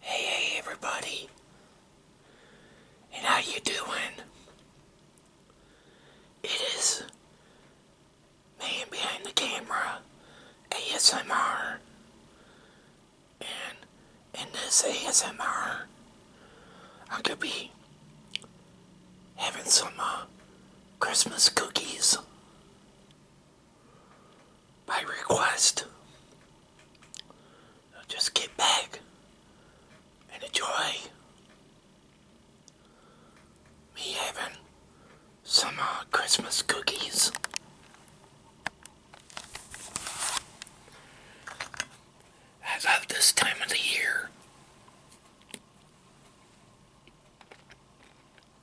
Hey, hey, everybody. And how you doing? It is man behind the camera, ASMR. And in this ASMR, I could be having some uh, Christmas cookies by request. just get back and enjoy me having some uh, Christmas cookies. I love this time of the year.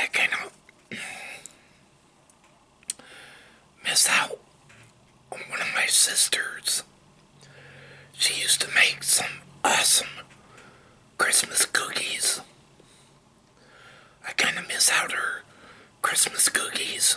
I cannot miss out on one of my sisters. She used to make some awesome Christmas cookies. I kind of miss out her Christmas cookies.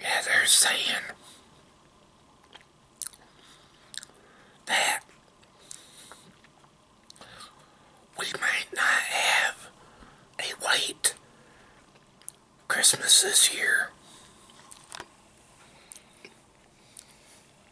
Yeah, they're saying that we might not have a white Christmas this year.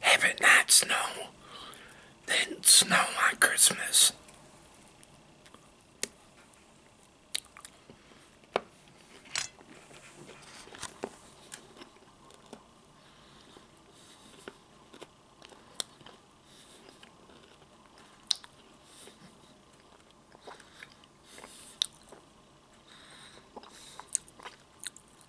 have it not snow, then snow on Christmas.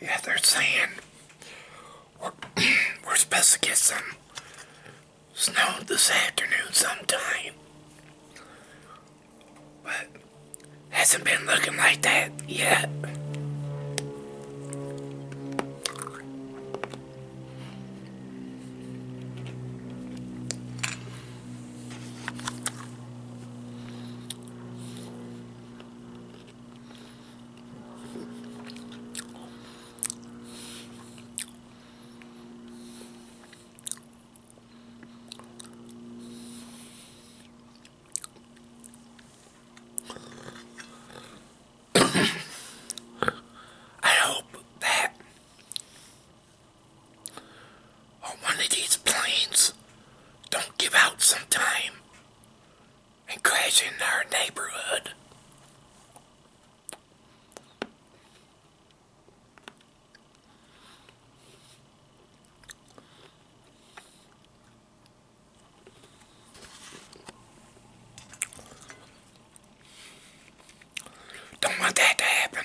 Yeah, they're saying we're, supposed to get some Snowed this afternoon sometime. But hasn't been looking like that yet. I hope that on one of these planes don't give out some time and crash in our neighborhood. Don't want that to happen.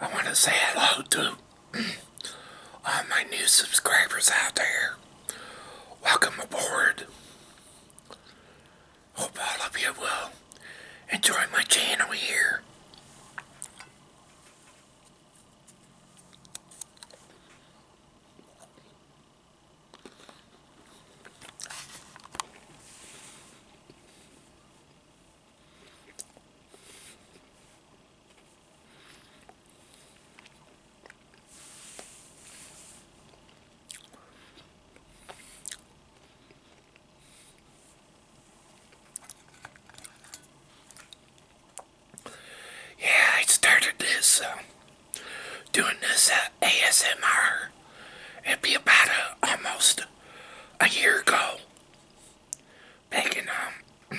I want to say hello to all my new subscribers out there, welcome aboard. Hope all of you will enjoy my channel here. Yeah, I started this, uh, doing this uh, ASMR, it'd be about a, uh, almost a year ago, back um,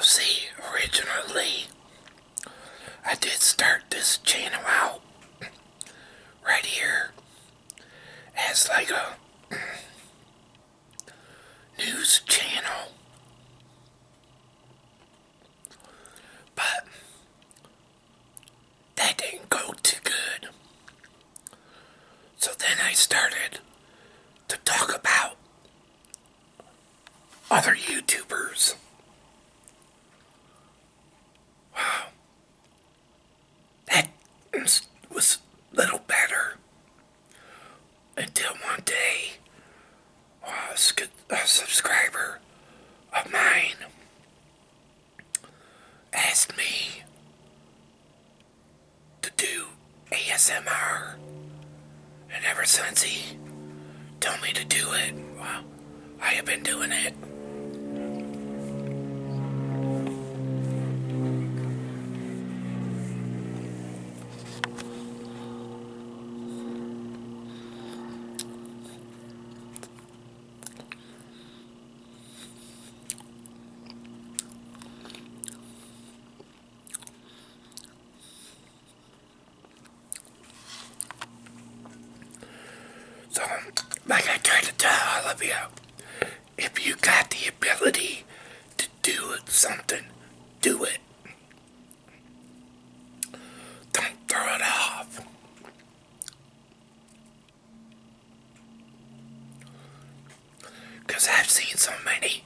see, originally, I did start this channel out right here as like a news channel. But that didn't go too good. So then I started to talk about other YouTubers. Wow. That was little better. Until one day, a, subscriber of mine asked me to do ASMR. And ever since he told me to do it, I have been doing it. So, like I tried to tell all of you, if you got the ability to do something, do it. Don't throw it off. Because I've seen so many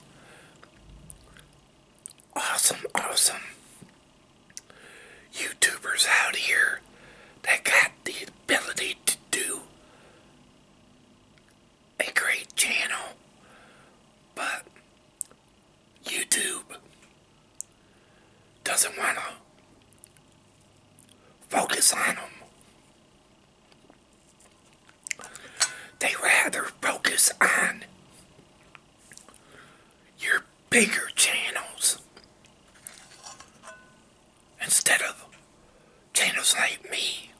awesome, awesome YouTubers out here that got the ability to do a great channel, but YouTube doesn't want to focus on them. They rather focus on your bigger channels instead of channels like me.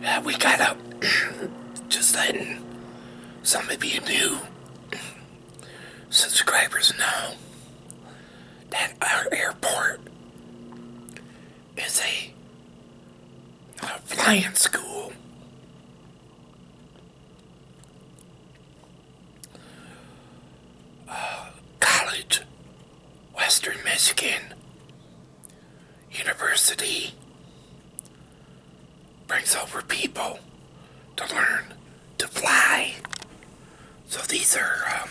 Yeah, we got up. Just letting some of you new subscribers know that our airport is a flying school college, Western Michigan University brings over people to learn to fly. So these are um,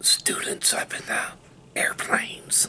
students up in the airplanes.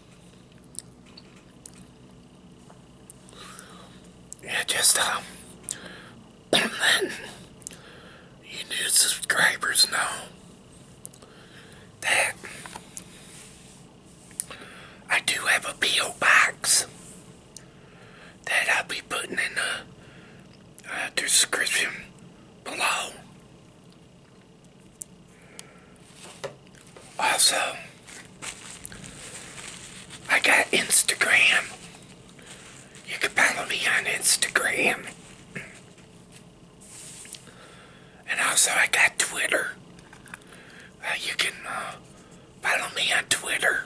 yeah, just uh, you new subscribers know that I do have a PO box that I'll be putting in the uh, description below. Also, I got Instagram. You can follow me on Instagram. And also, I got Twitter. Uh, you can uh, follow me on Twitter.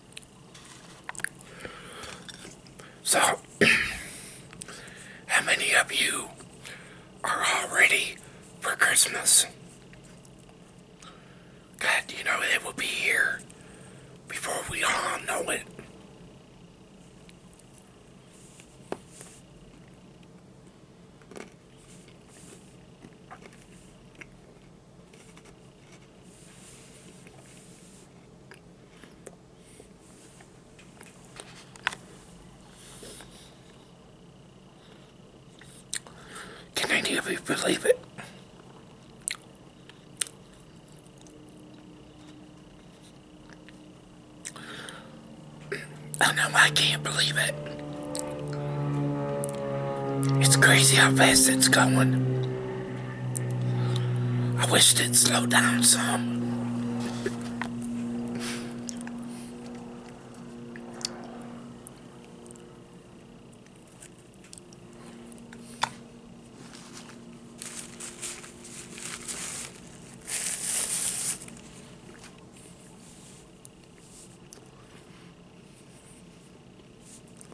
So, how many of you are already for Christmas? God, you know, it will be here before we all know it. Can any believe it? I know I can't believe it. It's crazy how fast it's going. I wish they'd slow down some.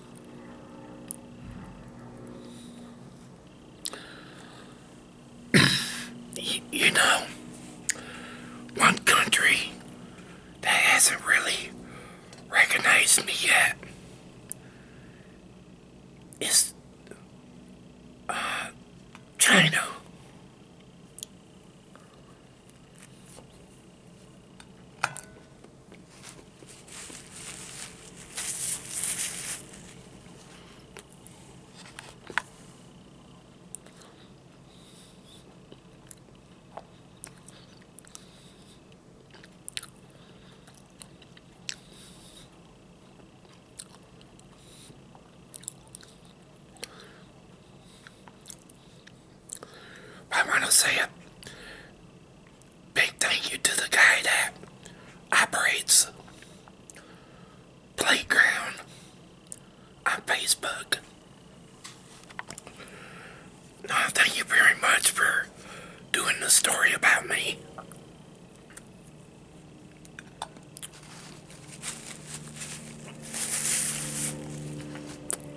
you know, one country that hasn't really recognized me yet is uh, China. I want to say it big thank you to the guy that operates Playground on Facebook. thank you very much for doing the story about me.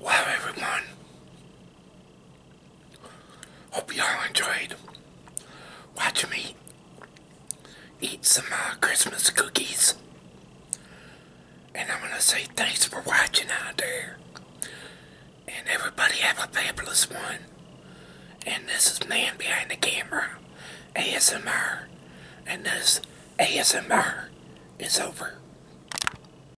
Wow, everyone, Hope you all enjoyed watching me eat some uh, Christmas cookies. And I'm going to say thanks for watching out there. And everybody have a fabulous one. And this is Man Behind the Camera, ASMR. And this ASMR is over.